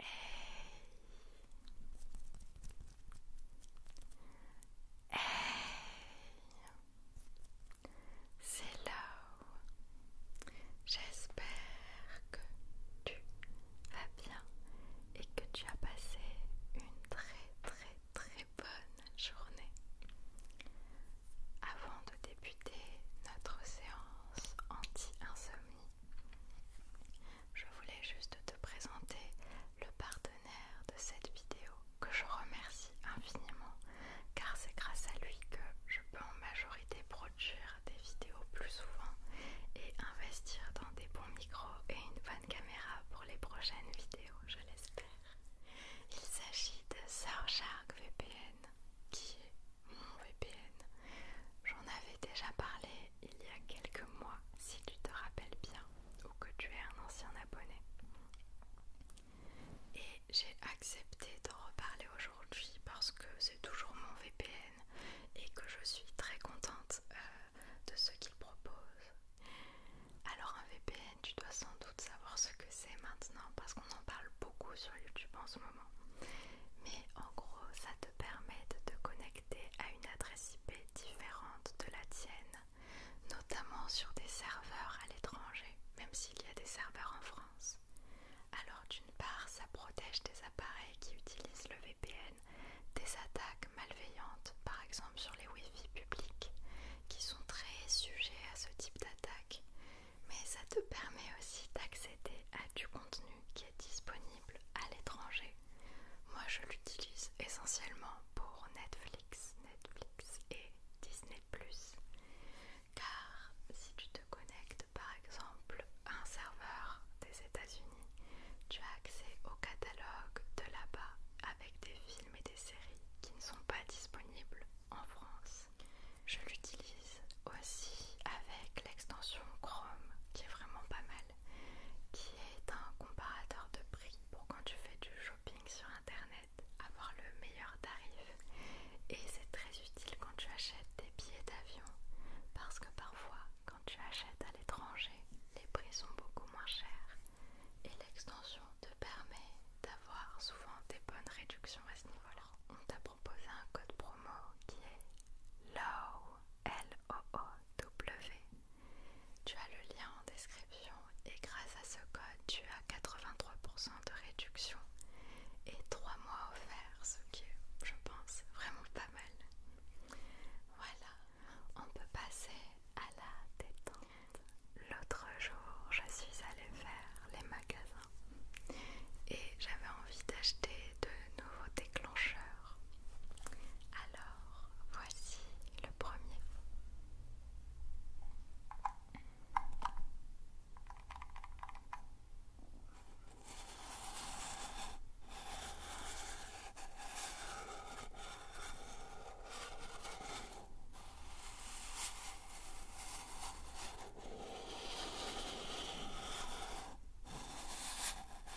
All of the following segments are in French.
Hey. Hey. C'est là J'espère que tu vas bien et que tu as passé une très très très bonne journée. Avant de débuter notre séance anti-insomnie, je voulais juste te présenter le partenaire de cette vidéo que je remercie infiniment car c'est grâce à lui que je peux en majorité produire des vidéos plus souvent et investir dans des bons micros et une bonne caméra pour les prochaines vidéos, je l'espère. Il s'agit de Surfshark VPN qui est mon VPN. J'en avais déjà parlé il y a quelques mois, si tu te rappelles bien, ou que tu es un ancien abonné. Et j'ai accepté d'en reparler aujourd'hui parce que c'est toujours mon VPN et que je suis très contente euh, de ce qu'il propose. Alors un VPN, tu dois sans doute savoir ce que c'est maintenant parce qu'on en parle beaucoup sur YouTube en ce moment. Mais en gros, ça te permet permettent de connecter à une adresse IP différente de la tienne, notamment sur des serveurs à l'étranger, même s'il y a des serveurs en France. Alors d'une part, ça protège des appareils qui utilisent le VPN des attaques malveillantes, par exemple sur les Wi-Fi publics, qui sont très sujets à ce type d'attaque. Mais ça te permet aussi d'accéder à du contenu qui disponible à l'étranger. Moi je l'utilise essentiellement pour Netflix, Netflix et Disney ⁇ Car si tu te connectes par exemple à un serveur des États-Unis, tu as accès au catalogue de là-bas avec des films et des séries qui ne sont pas disponibles en France. Je l'utilise aussi avec l'extension Chrome qui est vraiment pas mal qui est un comparateur de prix pour quand tu fais du shopping sur internet avoir le meilleur tarif et c'est très utile quand tu achètes des billets d'avion parce que parfois quand tu achètes à l'étranger les prix sont beaucoup moins chers et l'extension te permet d'avoir souvent des bonnes réductions à ce niveau là on proposer un code promo qui est LOW, w Tu as le lien en description et grâce à ce code, tu as 83% de réduction et 3 mois offerts, ce qui est, je pense, vraiment pas mal. Voilà, on peut passer à la détente. L'autre jour, je suis allée faire les magasins et j'avais envie d'acheter de nouveaux déclencheurs alors, voici le premier.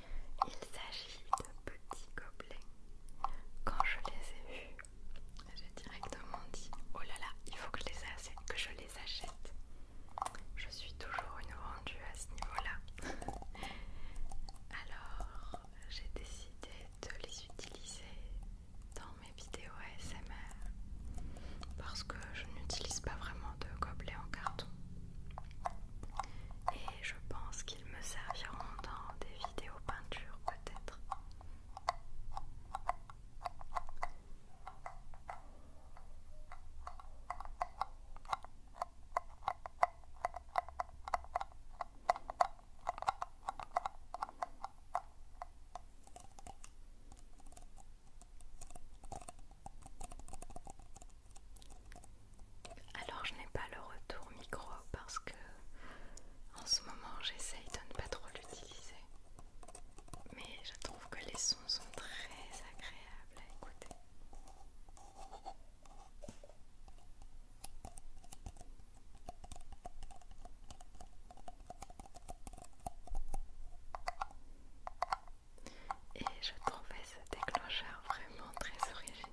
Il s'agit de petits gobelets. Quand je les ai vus, j'ai directement dit Oh là là, il faut que je les, achète, je suis toujours une rendue à ce niveau-là. Alors, j'ai décidé de les utiliser dans mes vidéos ASMR parce que je n'utilise pas vraiment de gobelets en carton et je pense qu'il ils me serviront dans des vidéos peintures peut-être. Alors je n'ai pas le retour micro parce que en ce moment j'essaye de ne pas trop l'utiliser. Mais je trouve que les sons sont très agréables à écouter. Et je trouvais ce déclencheur vraiment très original.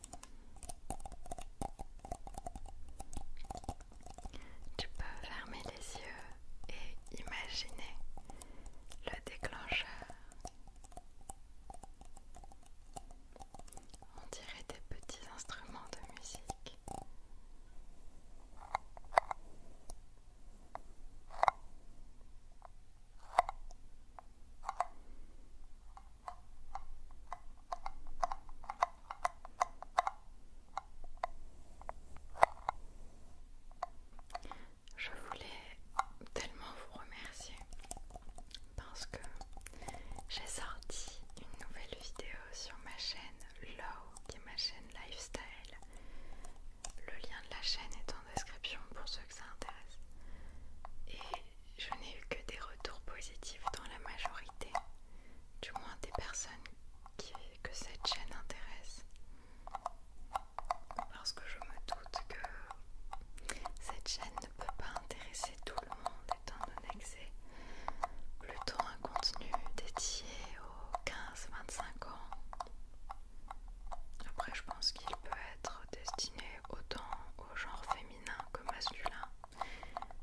Tu peux fermer les yeux et imaginer le déclencheur. On dirait des petits instruments de musique. Je voulais tellement vous remercier parce que j'ai sorti une nouvelle vidéo sur ma chaîne Low, qui est ma chaîne lifestyle. Le lien de la chaîne est en description pour ceux que ça intéresse je n'ai eu que des retours positifs dans la majorité, du moins des personnes que cette chaîne intéresse. Parce que je me doute que cette chaîne ne peut pas intéresser tout le monde étant donné que c'est plutôt un contenu dédié aux 15-25 ans. Après je pense qu'il peut être destiné autant au genre féminin que masculin.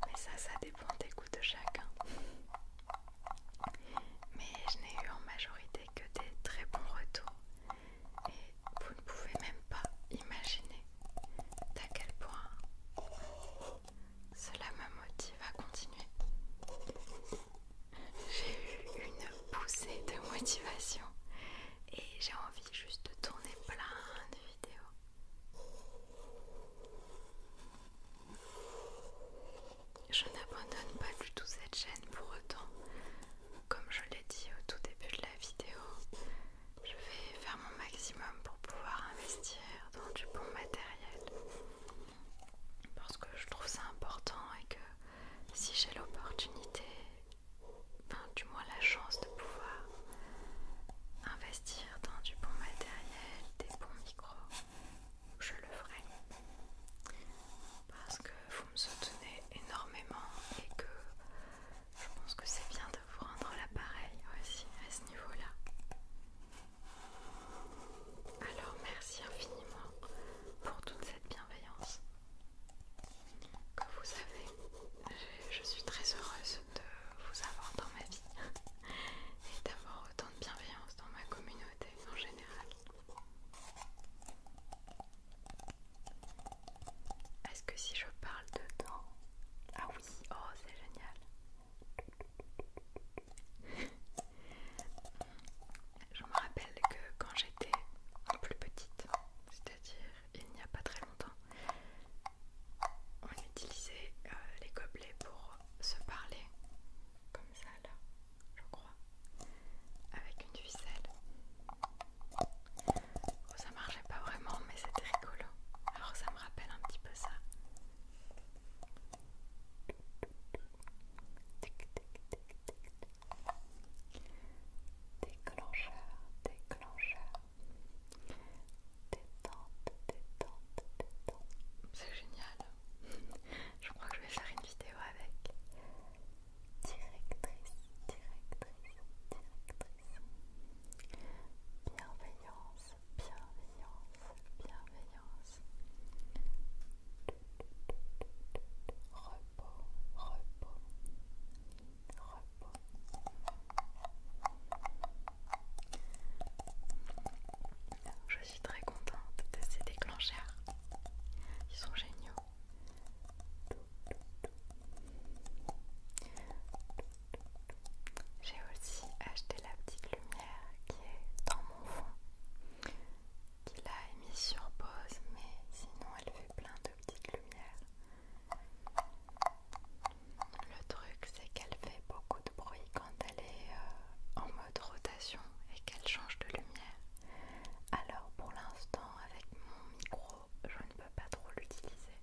Mais ça, ça dépend des goûts de chacun. Mais je n'ai eu en majorité que des très bons retours. Et vous ne pouvez même pas imaginer à quel point cela me motive à continuer. J'ai eu une poussée de motivation et j'ai envie juste de tourner plein de je n'abandonne pas du tout cette chaîne pour autant. Comme je l'ai dit au tout début de la vidéo, je vais faire mon maximum pour pouvoir investir dans du bon matériel. Parce que je trouve ça important et que si j'ai l'opportunité du moins la chance de pouvoir investir dans du bon matériel, des bons micros, je le ferai. Parce que vous me soutenez énormément et que je pense que c'est bien de vous rendre l'appareil aussi à ce niveau-là. Alors merci infiniment pour toute cette bienveillance que vous avez je, suis très heureuse de vous avoir dans ma vie et d'avoir autant de bienveillance dans ma communauté en général. Est-ce que si je parle dedans Ah oui, oh c'est génial. je me rappelle que quand j'étais plus petite, c'est-à-dire il n'y a pas très longtemps. On utilisait euh, les gobelets pour se parler, comme ça là, je crois, avec une ficelle. Oh, ça marchait pas vraiment, mais c'était rigolo. Alors ça me rappelle un petit peu ça. Déclencheur, déclencheur, Détente, détente, détente. C'est génial. Je crois que je vais faire une vidéo avec. Directrice, directrice, directrice. Bienveillance, bienveillance, bienveillance. Repos, repos repos. Je suis très contente de ces déclencheurs. Ils sont géniaux. J'ai aussi acheté la petite lumière qui est dans mon fond, qui l'a émise sur pause, mais sinon elle fait plein de petites lumières le truc, c'est qu'elle fait beaucoup de bruit quand elle est euh, en mode rotation et qu'elle change de lumière. Alors pour l'instant, avec mon micro, je ne peux pas trop l'utiliser.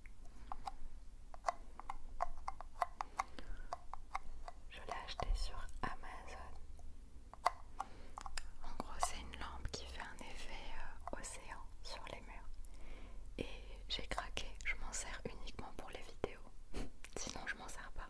Je l'ai acheté sur Amazon. En gros, c'est une lampe qui fait un effet euh, océan sur et j'ai craqué, je m'en sers uniquement pour les vidéos. Sinon je m'en sers pas.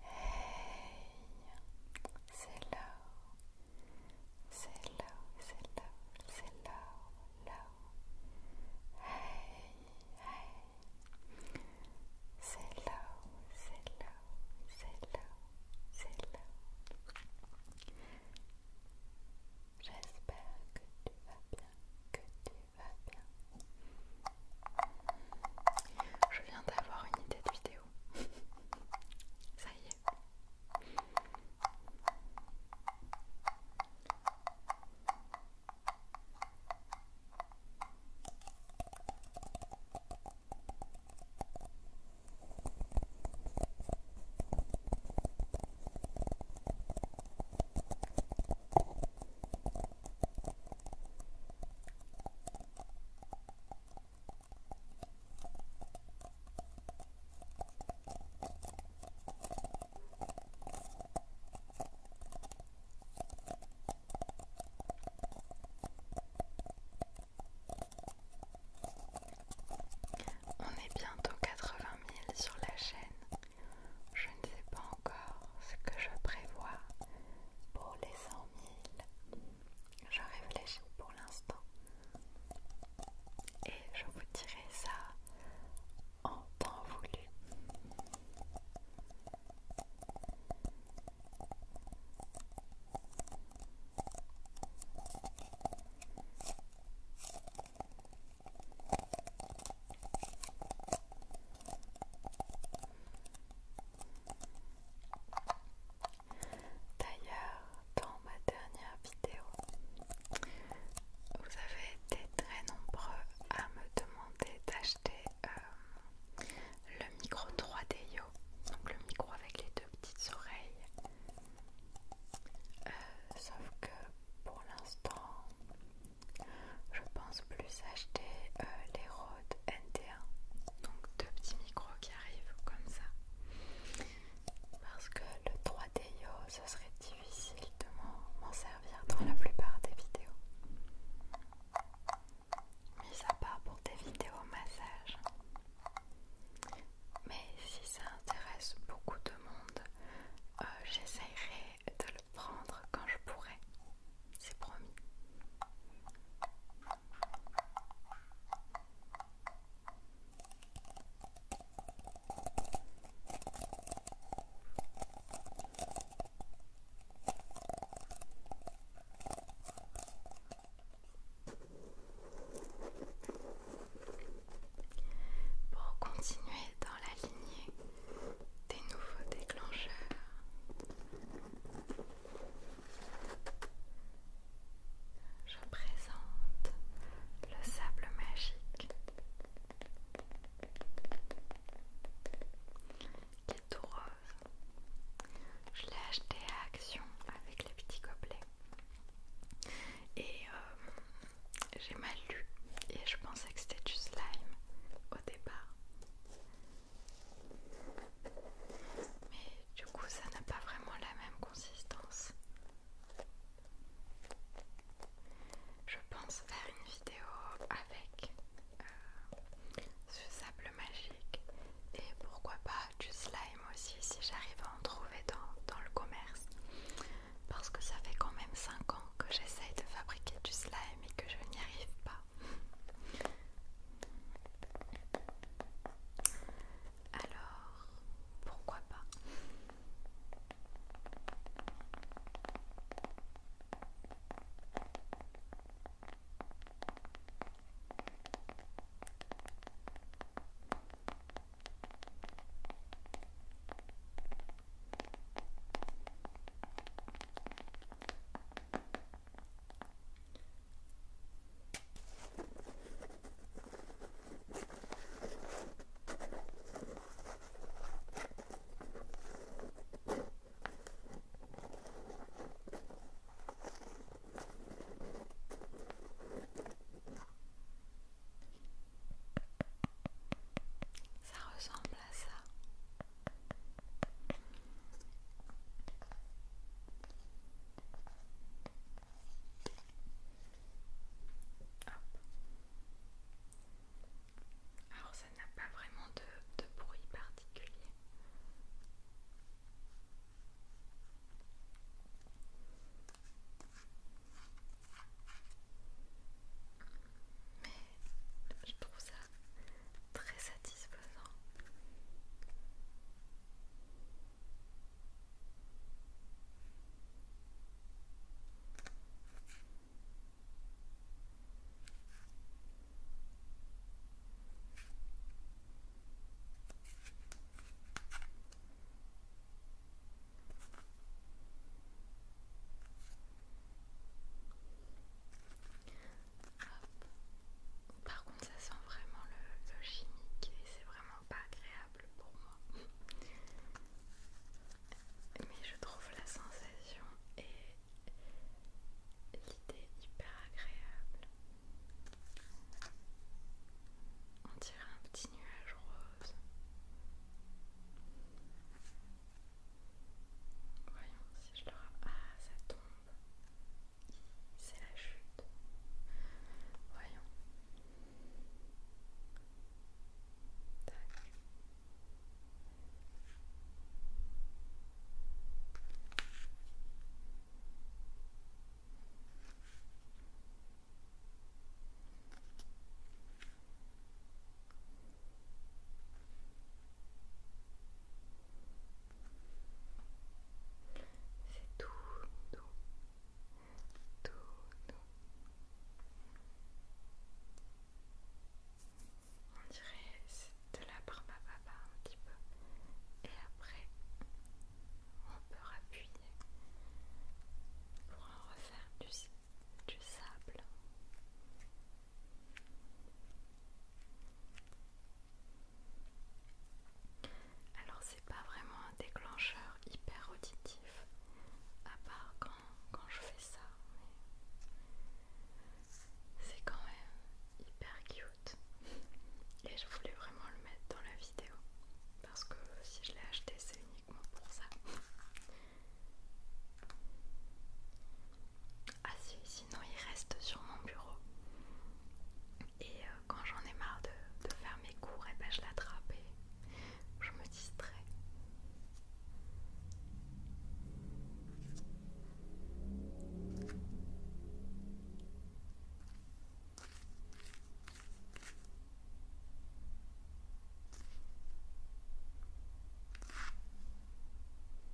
Hey, c'est là c'est là c'est là, c'est là là, Hey, hey, c'est là c'est là c'est là c'est là. J'espère que tu vas bien, que tu vas bien, je viens d'avoir une idée de vidéo. Ça y est. On est bientôt 80 000 sur la chaîne. Je ne sais pas encore ce que je prévois pour les 100 000 je réfléchis pour l'instant et je vous dirai ça en temps voulu. D'ailleurs, dans ma dernière vidéo, vous avez été très nombreux à me demander d'acheter euh, le micro 3DIO, donc le micro avec les deux petites oreilles. Euh, sauf que pour l'instant, je pense plus acheter euh, les Rode NT donc deux petits micros qui arrivent comme ça parce que le 3DIO ce serait difficile de m'en servir dans la plupart des vidéos mis à part pour des vidéos massage mais si ça intéresse beaucoup de monde euh, j'essayerai de le prendre quand je pourrai c'est promis. Pour continuer dans la lignée des nouveaux déclencheurs, je présente le sable magique qui est tout rose. Je l'ai acheté à Action avec les petits gobelets. Et euh, j'ai mal lu et je pensais que c'était du slime au départ mais du coup ça n'a pas vraiment la même consistance. Je pense faire une vidéo avec euh, ce sable magique et pourquoi pas du slime aussi si j'arrive à en trouver dans, dans le commerce parce que ça fait quand même 5 ans que j'essaye de fabriquer du slime et que je n'y arrive pas. Alors, pourquoi pas ça ressemble à ça. Alors ça n'a pas vraiment de, bruit particulier. Mais je trouve ça très satisfaisant satisfaisant. Hop. Par contre, ça sent vraiment le, chimique et c'est vraiment pas agréable pour moi. Mais je trouve la sensation et l'idée hyper agréable. On dirait un petit nuage rose. Voyons si je le. Ah, ça tombe. C'est la chute. Voyons. C'est tout doux, tout doux. On dirait de la barbe un petit peu. Et après, on peut appuyer pour en refaire du sable. Alors c'est pas vraiment un déclencheur hyper auditif, à part quand, quand je fais ça, mais c'est quand même hyper cute. Et je voulais vraiment le mettre dans la vidéo, parce que si je l'ai acheté c'est uniquement pour ça. Ah si, sinon il reste sur mon bureau. Et euh, quand j'en ai marre de, faire mes cours, et eh ben je l'attrape et je me distrais.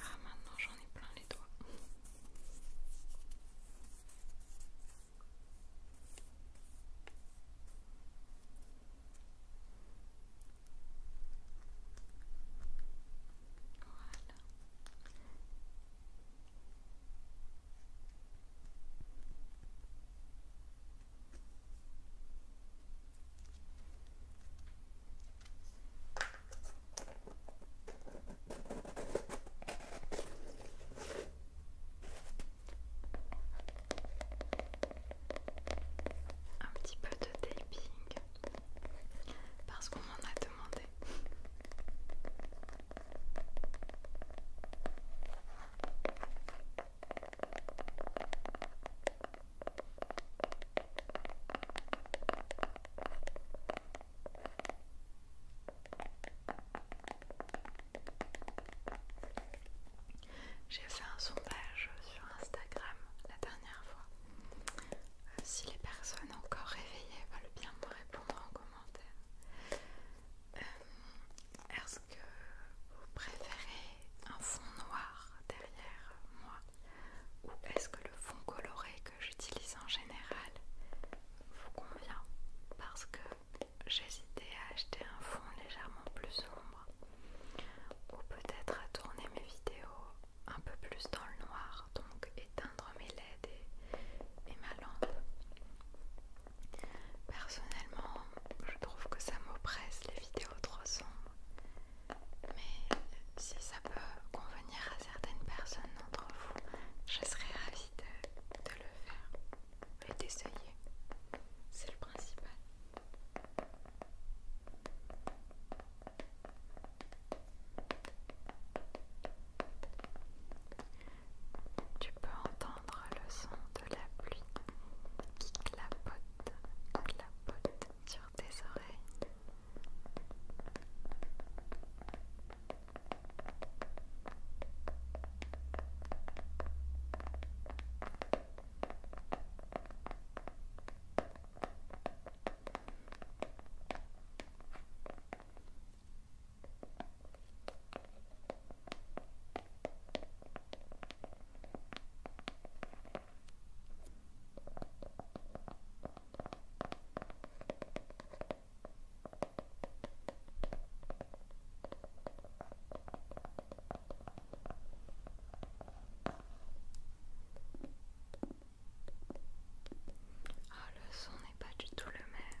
Ah maintenant j'en ai plein les doigts. Un petit peu de taping parce qu'on m'en a demandé. J'ai fait un sondage sur Instagram la dernière fois. Euh, si les personnes encore réveillées veulent bien me répondre en commentaire. Euh, est-ce que vous préférez un fond noir derrière moi ou est-ce que le fond coloré que j'utilise en général vous convient Parce que j'hésitais à acheter un fond légèrement plus sombre ou peut-être à tourner mes vidéos un peu plus dans le noir, donc éteindre mes LED et ma lampe. Personnellement, je trouve que ça m'oppresse les vidéos trop sombres. Mais si ça peut convenir à certaines personnes d'entre vous, je serais ravie de, le faire et d'essayer. C'est le principal. Tu peux entendre prendre le son de la pluie qui clapote, clapote sur tes oreilles. Ah, le son n'est pas du tout le même.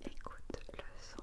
Écoute le son.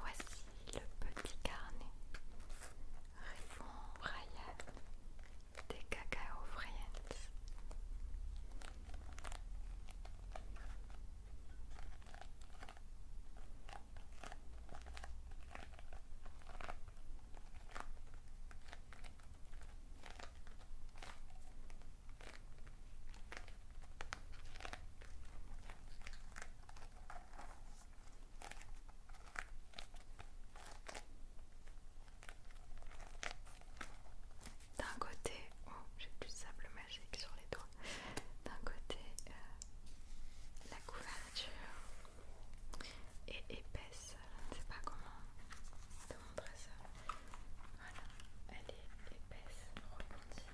Voici le petit carnet. Riffon Brian des Cacao Friends. D'un côté, oh, j'ai du sable magique sur les doigts. D'un côté, euh, la couverture est épaisse, je ne sais pas comment te montrer ça. Voilà, elle est épaisse, rebondie.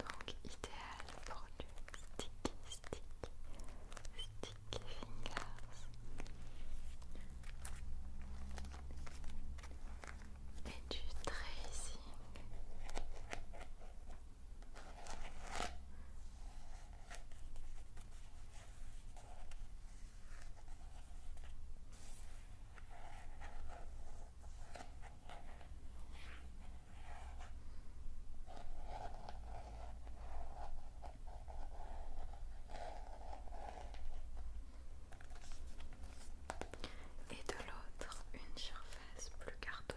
Donc idéal pour du sticky stick, sticky fingers. Et du tracing et de l'autre une surface plus cartonnée.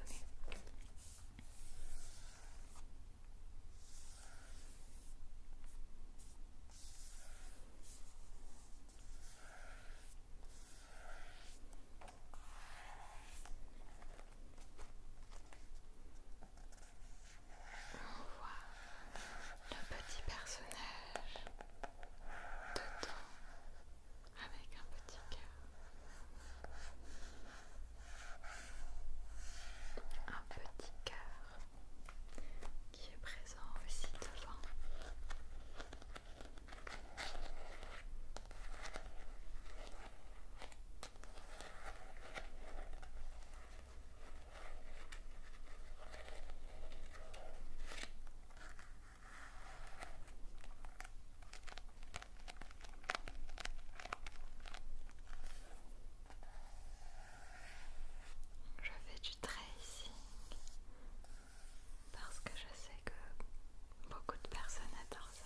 On voit le petit personnage dedans avec un petit cœur. Un petit cœur qui est présent aussi devant parce que je sais que beaucoup de personnes adorent ça.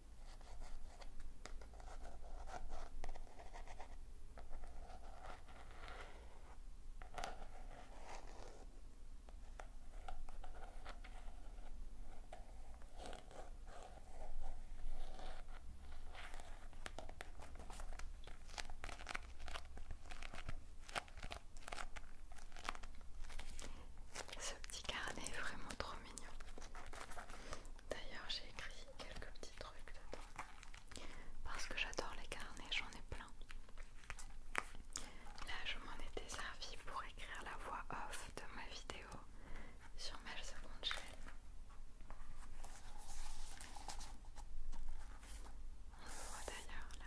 Ce petit carnet est vraiment trop mignon. D'ailleurs, j'ai écrit quelques petits trucs dedans parce que j'adore les carnets, j'en ai plein. Là, je m'en étais servi pour écrire la voix off de ma vidéo sur ma seconde chaîne. On le voit d'ailleurs là.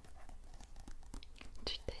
du taping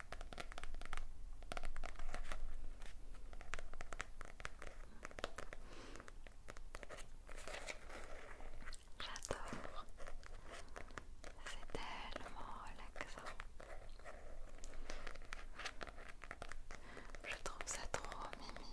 J'adore. C'est tellement relaxant. Je trouve ça trop mimi.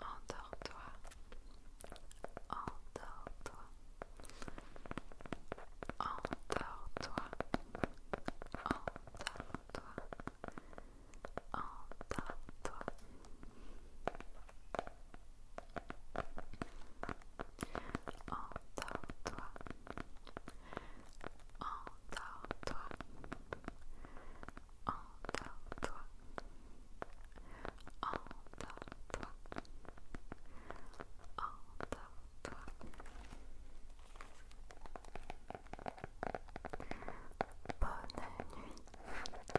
Endors-toi, endors-toi, endors-toi, endors-toi, endors-toi. Endors-toi. Endors-toi. Endors-toi. Endors-toi. Endors-toi.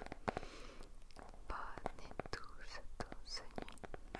Bonne nuit. Bonne et douce, douce nuit.